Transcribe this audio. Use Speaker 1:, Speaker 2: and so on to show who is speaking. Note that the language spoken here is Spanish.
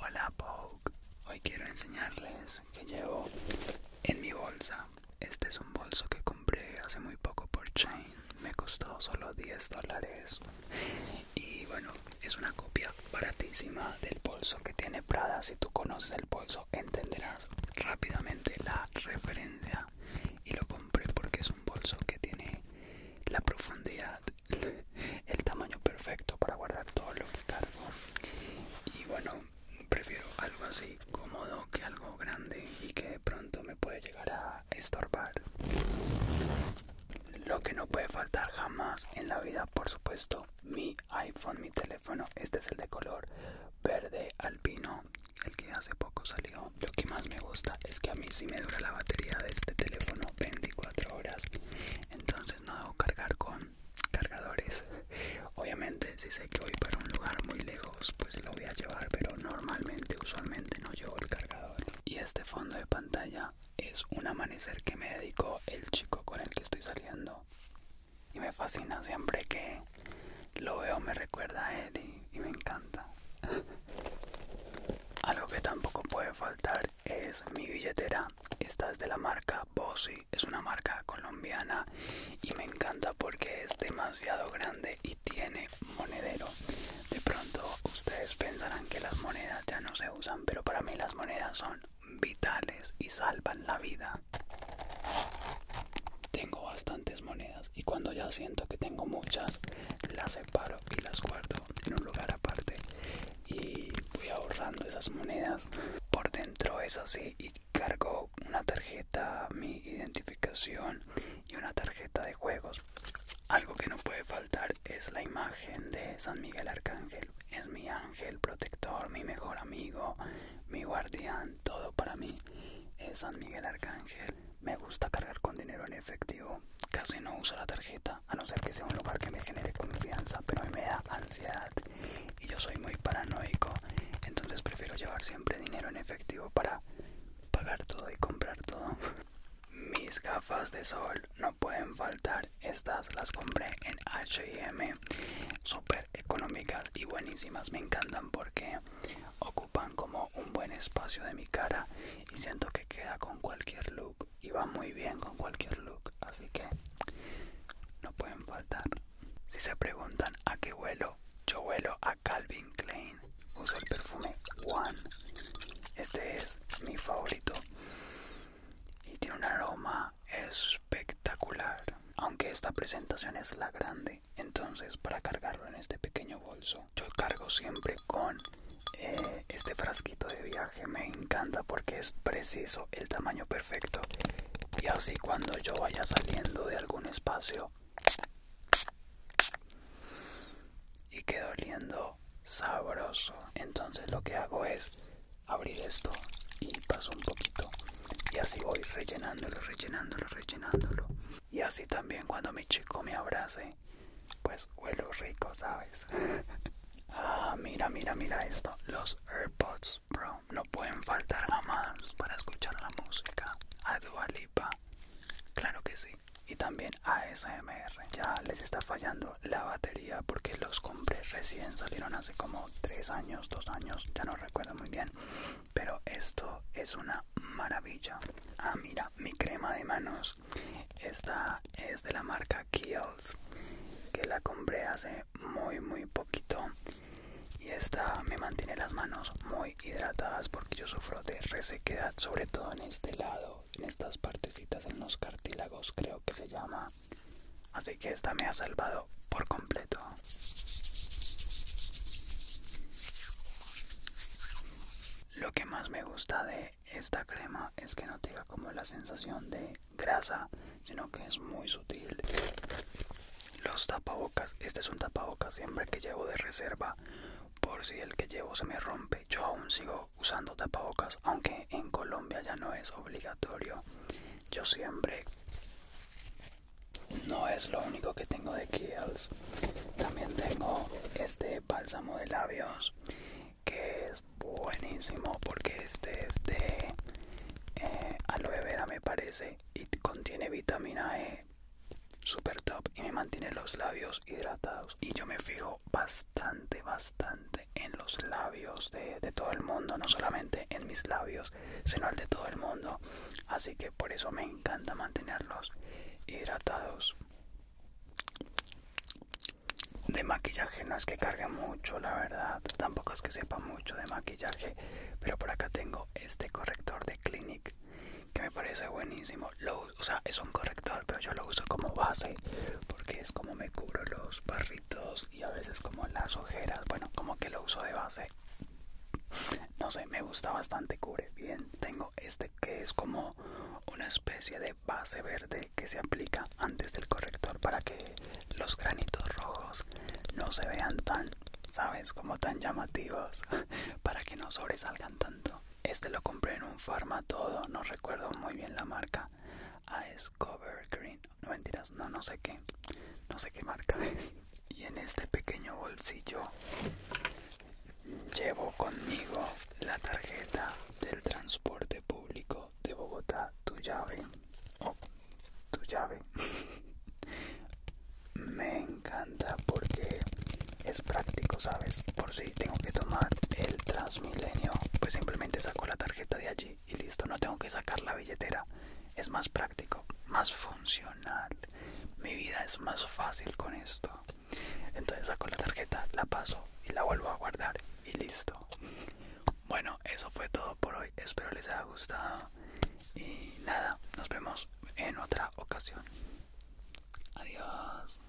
Speaker 1: Hola Vogue, hoy quiero enseñarles que llevo en mi bolsa. Este es un bolso que compré hace muy poco por Chain, me costó solo 10 dólares. Y bueno, es una copia baratísima del bolso que tiene Prada. Si tú conoces el bolso, entenderás rápidamente la referencia. Y lo compré porque es un bolso que tiene la profundidad el tamaño perfecto para guardar todo lo que cargo y bueno prefiero algo así cómodo que algo grande y que de pronto me puede llegar a estorbar lo que no puede faltar jamás en la vida por supuesto mi iPhone mi teléfono este es el de color verde alpino el que hace poco salió lo que más me gusta es que a mí sí me dura la batería de este teléfono 24 horas entonces no debo cargar con cargadores obviamente si sé que voy para un lugar muy lejos pues lo voy a llevar pero normalmente usualmente no llevo el cargador y este fondo de pantalla es un amanecer que me dedicó el chico con el que estoy saliendo y me fascina siempre que lo veo me recuerda a él y, me encanta algo que tampoco puede faltar es mi billetera. Esta es de la marca Bossi, es una marca colombiana y me encanta porque es demasiado grande y tiene monedero. De pronto ustedes pensarán que las monedas ya no se usan, pero para mí las monedas son vitales y salvan la vida. Tengo bastantes monedas y cuando ya siento que tengo muchas las separo y las guardo en un lugar aparte y voy ahorrando esas monedas por dentro es así y cargo una tarjeta mi identificación y una tarjeta de juegos algo que no puede faltar es la imagen de San Miguel Arcángel es mi ángel protector mi mejor amigo mi guardián todo para mí es San Miguel Arcángel me gusta cargar con dinero en efectivo. Casi no uso la tarjeta, a no ser que sea un lugar que me genere confianza, pero me da ansiedad. Y yo soy muy paranoico, entonces prefiero llevar siempre dinero en efectivo para pagar todo y comprar todo. Mis gafas de sol no pueden faltar. Estas las compré en HM. Súper económicas y buenísimas. Me encantan porque ocupan como un buen espacio de mi cara y siento que queda con cualquier look y va muy bien con cualquier look así que no pueden faltar si se preguntan a qué vuelo yo vuelo a Calvin Klein uso el perfume One este es mi favorito y tiene un aroma espectacular. Aunque esta presentación es la grande, entonces para cargarlo en este pequeño bolso, yo cargo siempre con eh, este frasquito de viaje. Me encanta porque es preciso, el tamaño perfecto. Y así cuando yo vaya saliendo de algún espacio y quedo oliendo sabroso, entonces lo que hago es abrir esto y paso un poquito y así voy rellenándolo, rellenándolo, rellenándolo. Y así también cuando mi chico me abrace, pues huele rico, ¿sabes? ah, mira, mira, mira esto. Los AirPods Pro no pueden faltar jamás para escuchar la música. A Dua claro que sí. Y también ASMR. Ya les está fallando la batería porque los compré recién, salieron hace como 3 años, 2 años, ya no recuerdo muy bien. Pero esto es una maravilla. Ah, mira, mi crema de manos. Esta es de la marca Kiehl's, que la compré hace muy, muy poquito. Y esta me mantiene las manos muy hidratadas porque yo sufro de resequedad, sobre todo en este lado, en estas partecitas, en los cartílagos, creo que se llama. Así que esta me ha salvado por completo. Lo que más me gusta de esta crema es que no tenga como la sensación de grasa, sino que es muy sutil. Los tapabocas, este es un tapabocas siempre que llevo de reserva por si el que llevo se me rompe. Yo aún sigo usando tapabocas, aunque en Colombia ya no es obligatorio. Yo siempre no es lo único que tengo de Kiehl's. También tengo este bálsamo de labios que es buenísimo porque este es de eh, aloe vera me parece y contiene vitamina E super top y me mantiene los labios hidratados y yo me fijo bastante bastante en los labios de, todo el mundo no solamente en mis labios sino el de todo el mundo así que por eso me encanta mantenerlos hidratados de maquillaje no es que cargue mucho la verdad tampoco es que sepa mucho de maquillaje pero por acá tengo este corrector de clinic que me parece buenísimo. o sea, es un corrector, pero yo lo uso como base porque es como me cubro los barritos y a veces como las ojeras. Bueno, como que lo uso de base. No sé, me gusta bastante, cubre bien. Tengo este que es como una especie de base verde que se aplica antes del corrector para que los granitos rojos no se vean tan, ¿sabes? Como tan llamativos, para que no sobresalgan tanto. Este lo compré en un todo. no recuerdo muy bien la marca. Ah, Cover Green. No mentiras, no, no sé qué. No sé qué marca es. Y en este pequeño bolsillo llevo conmigo la tarjeta del transporte público de Bogotá, tu llave. Oh, tu llave me encanta porque es práctico, ¿sabes? Por si tengo que tomar el Transmilenio, pues simplemente saco la tarjeta de allí y listo, no tengo que sacar la billetera. Es más práctico, más funcional. Mi vida es más fácil con esto. Entonces saco la tarjeta, la paso y la vuelvo a guardar y listo. Bueno, eso fue todo por hoy. Espero les haya gustado. Y nada, nos vemos en otra ocasión. Adiós.